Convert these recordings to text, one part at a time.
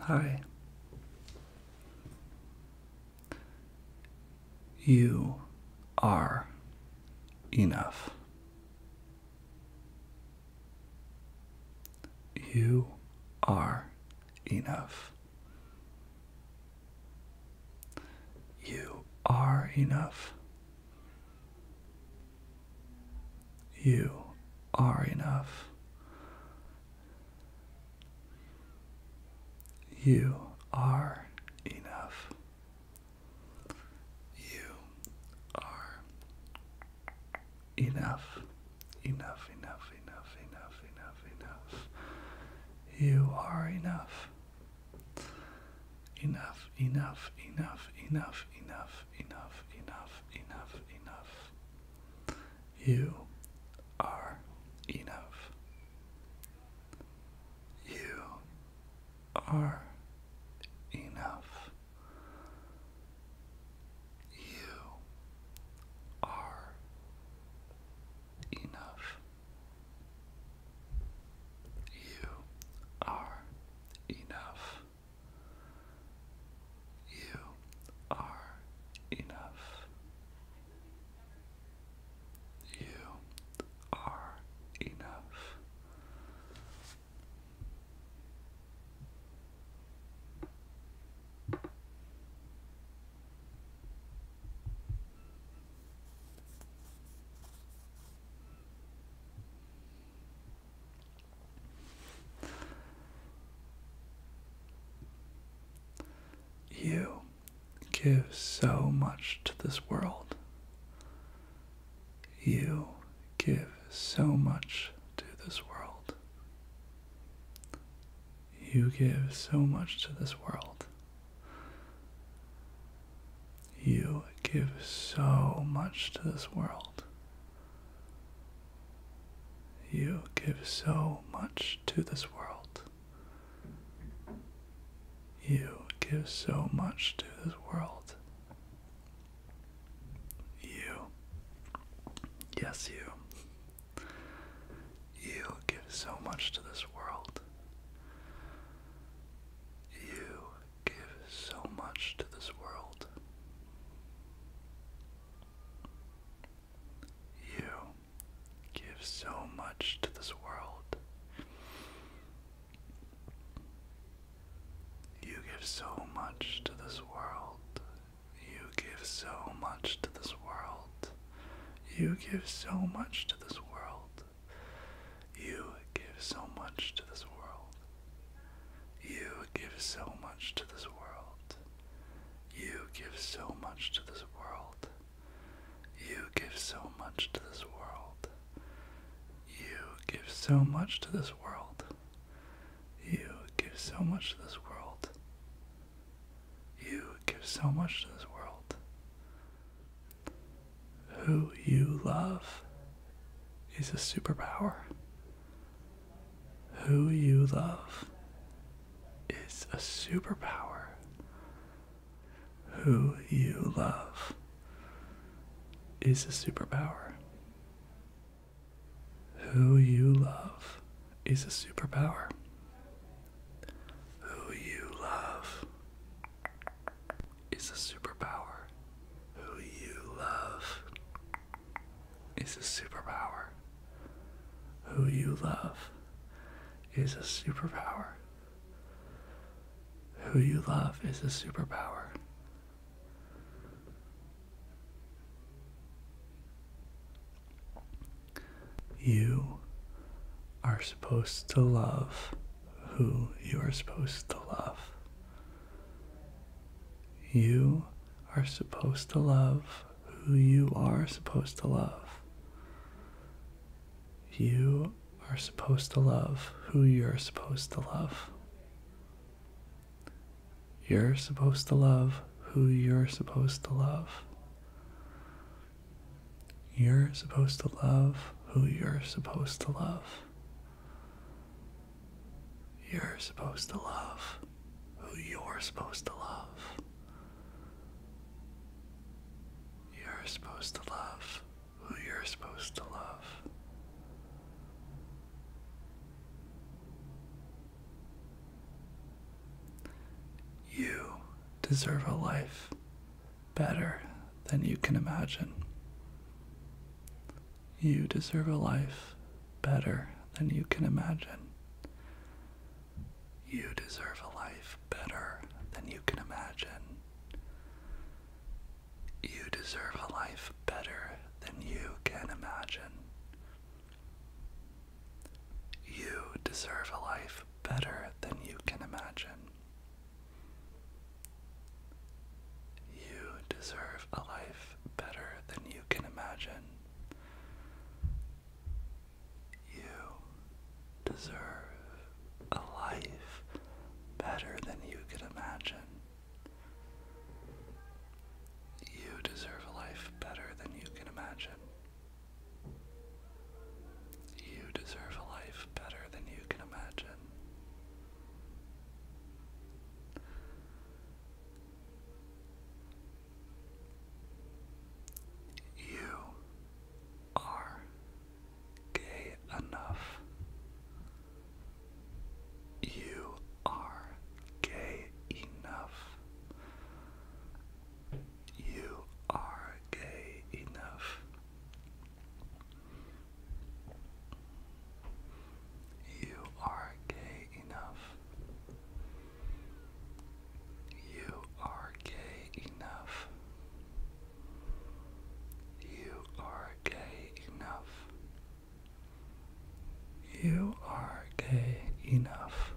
Hi. You are enough. You are enough. You are enough. You are enough. You are enough. You are enough. Enough, enough, enough, enough, enough, enough. You are enough enough, enough, enough, enough, enough, enough, enough, enough, enough. You are enough. You are enough. You are enough. You are enough. You are enough. You are enough. You give so much to this world. You give so much to this world. You give so much to this world. You give so much to this world. You give so much to this world. You give so much to this world. You. Yes, you. You give so much to this world. You give so much to this world. You give so much to this world. You give so much to this world. You give so much to this world. You give so much to this world. You give so much to this world. You give so much to this world. You give so much to this world. You give so much to this world. You give so much to this world. You give so much to this world. You give so much to this world who you love is a superpower. Who you love is a superpower. Who you love is a superpower. Who you love is a superpower. Who you love is a superpower. Who you love is a superpower. Who you love is a superpower. Who you love is a superpower. You are supposed to love who you are supposed to love. You are supposed to love who you are supposed to love. You are supposed to love who you're supposed to love. You're supposed to love who you're supposed to love. You're supposed to love who you're supposed to love. You're supposed to love who you're supposed to love. You're supposed to love who you're supposed to love. You deserve a life better than you can imagine. You deserve a life better than you can imagine. You deserve a life better than you can imagine. You deserve a life better than you can imagine. You deserve a life better than you can imagine. You deserve a life better than you can imagine. You deserve a life better than you can imagine. You deserve a life better than you can imagine. You deserve a life better than you can imagine. You are gay enough. You are gay enough you are gay enough. You are gay enough. You are gay enough. You are gay enough. You are gay enough.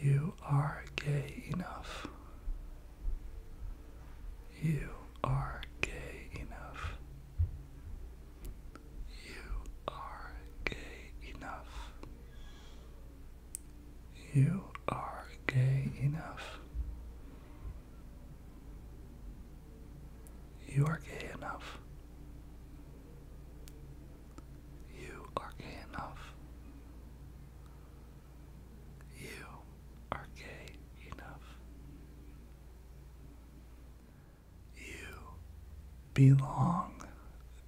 You are gay enough. You are gay enough. You are gay enough. You are gay enough. You are gay enough. You are gay enough. You are gay enough. You belong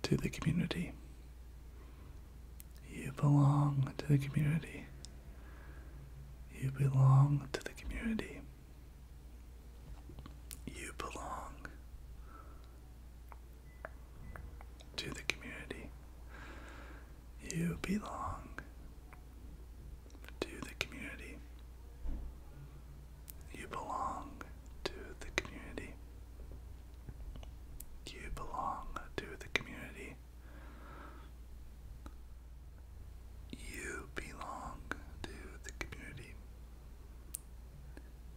to the community. You belong to the community. You belong to the community. You belong to the community. You belong to the community. You belong to the community. You belong to the community. You belong to the community.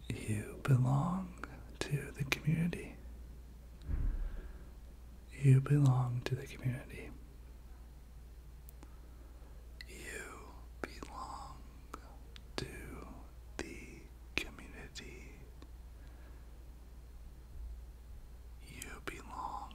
You belong to the community. You belong to the community. You belong to the community. You belong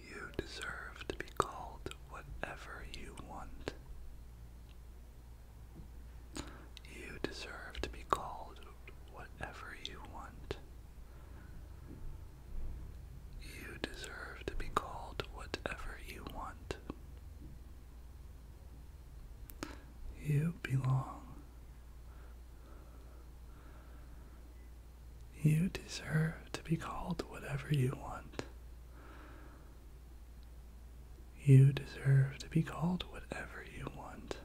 you deserve to be called whatever you want. You deserve to be called whatever you want. You deserve to be called whatever you want. You belong. You deserve to be called whatever you want. You deserve to be called whatever you want.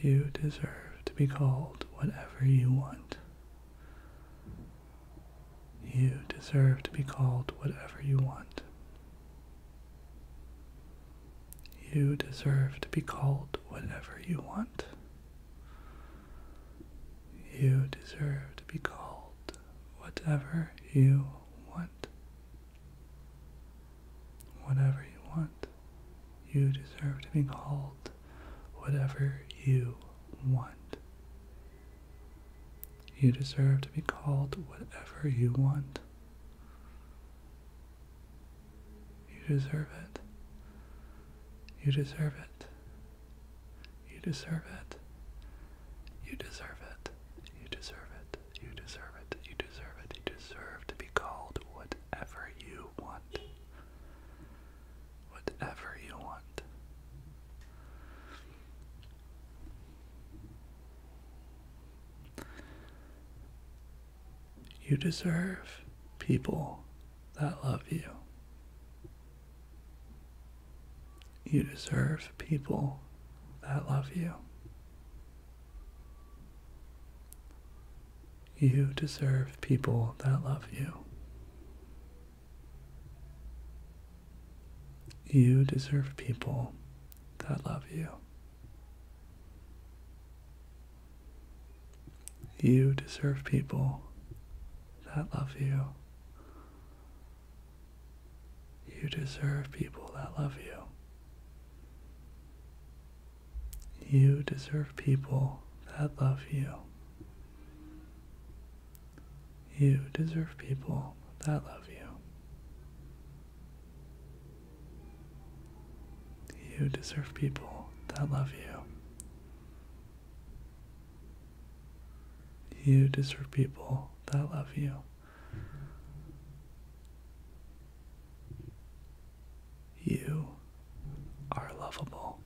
You deserve to be called whatever you want. You deserve to be called whatever you want. You deserve to be called whatever you want. You deserve to be called whatever you want. Whatever you want. You deserve to be called whatever you want. You deserve to be called whatever you want. You deserve it. You deserve it. You deserve it. You deserve it. You deserve it. You deserve it. You deserve it. You deserve to be called whatever you want. Whatever you want. You deserve people that love you. You deserve people that love you. You deserve people that love you. You deserve people that love you. You deserve people that love you. You deserve people that love you. You deserve people that love you. You deserve people that love you. You deserve people that love you. You deserve people that love you. You are lovable.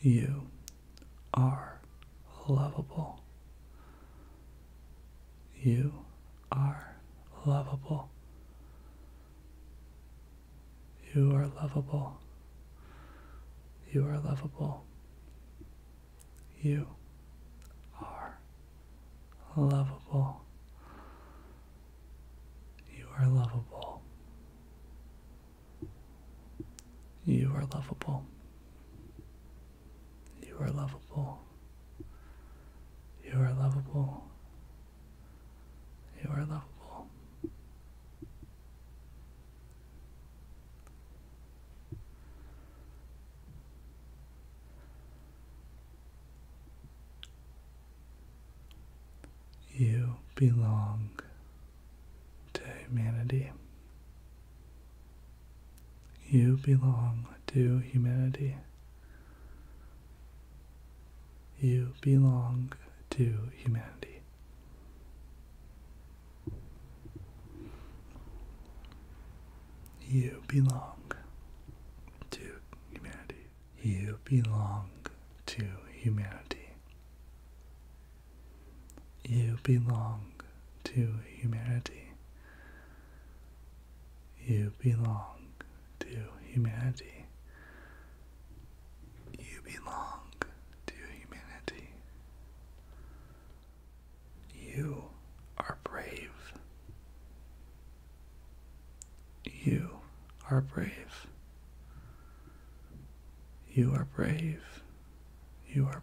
You are lovable. You are lovable. You are lovable. You are lovable. You are lovable. You are lovable. You are lovable. You are lovable. You are lovable. You are lovable. You belong to humanity. You belong to humanity. You belong to humanity. You belong to humanity. You belong to humanity. You belong to humanity. You belong to humanity. You belong to humanity. You are brave. You are brave. You are brave. You are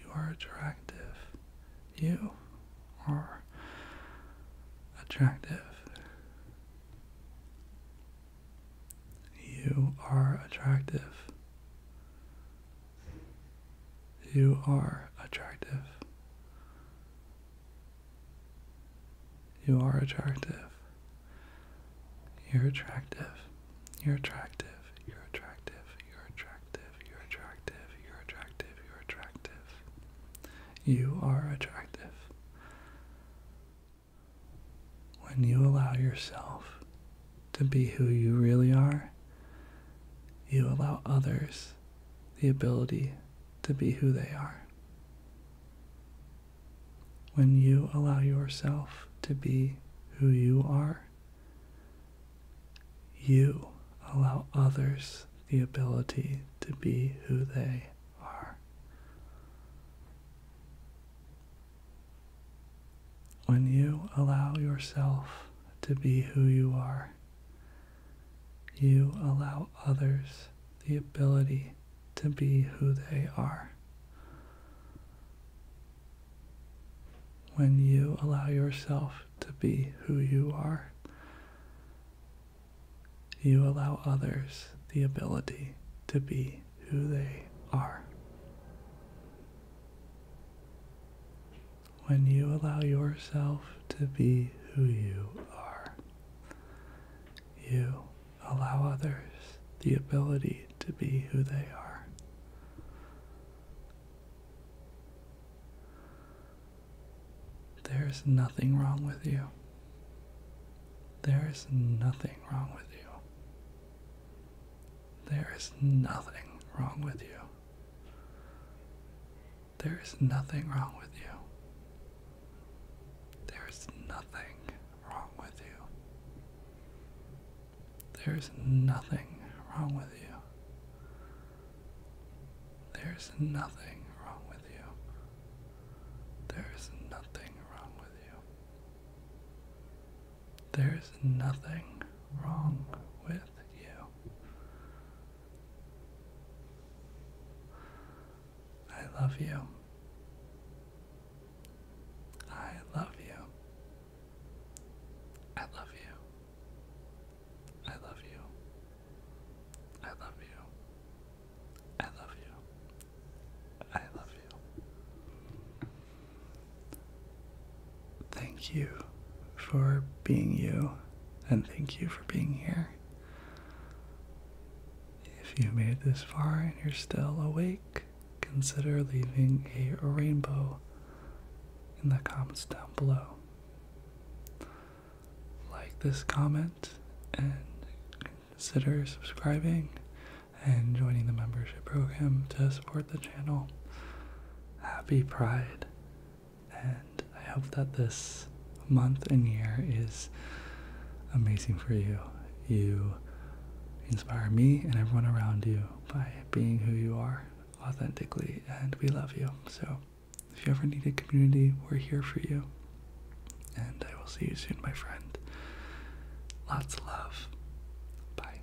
You are attractive. You are attractive. You are attractive. You are attractive. You are attractive. You're attractive. You're attractive. You're attractive you're attractive, you're attractive, you're attractive, you're attractive. You are attractive. When you allow yourself to be who you really are, you allow others the ability to be who they are. When you allow yourself to be who you are, you allow others the ability to be who they are. When you allow yourself to be who you are, you allow others the ability to be who they are when you allow yourself to be who you are, you allow others the ability to be who they are. When you allow yourself to be who you are, you allow others the ability to be who they are. There's nothing wrong with you. There is nothing wrong with you. There is nothing wrong with you. There is nothing wrong with you. There is nothing wrong with you. There's nothing wrong with you. There's nothing wrong with you. There's nothing wrong with you. There's nothing wrong with you. I love you. I love you. I love you. I love you. I love you. I love you. I love you. Thank you for being you, and thank you for being here. If you made this far and you're still awake, consider leaving a rainbow in the comments down below. Like this comment and consider subscribing and joining the membership program to support the channel. Happy Pride, and I hope that this month and year is amazing for you. You inspire me and everyone around you Bye being who you are authentically, and we love you. So, if you ever need a community, we're here for you. And I will see you soon, my friend. Lots of love. Bye.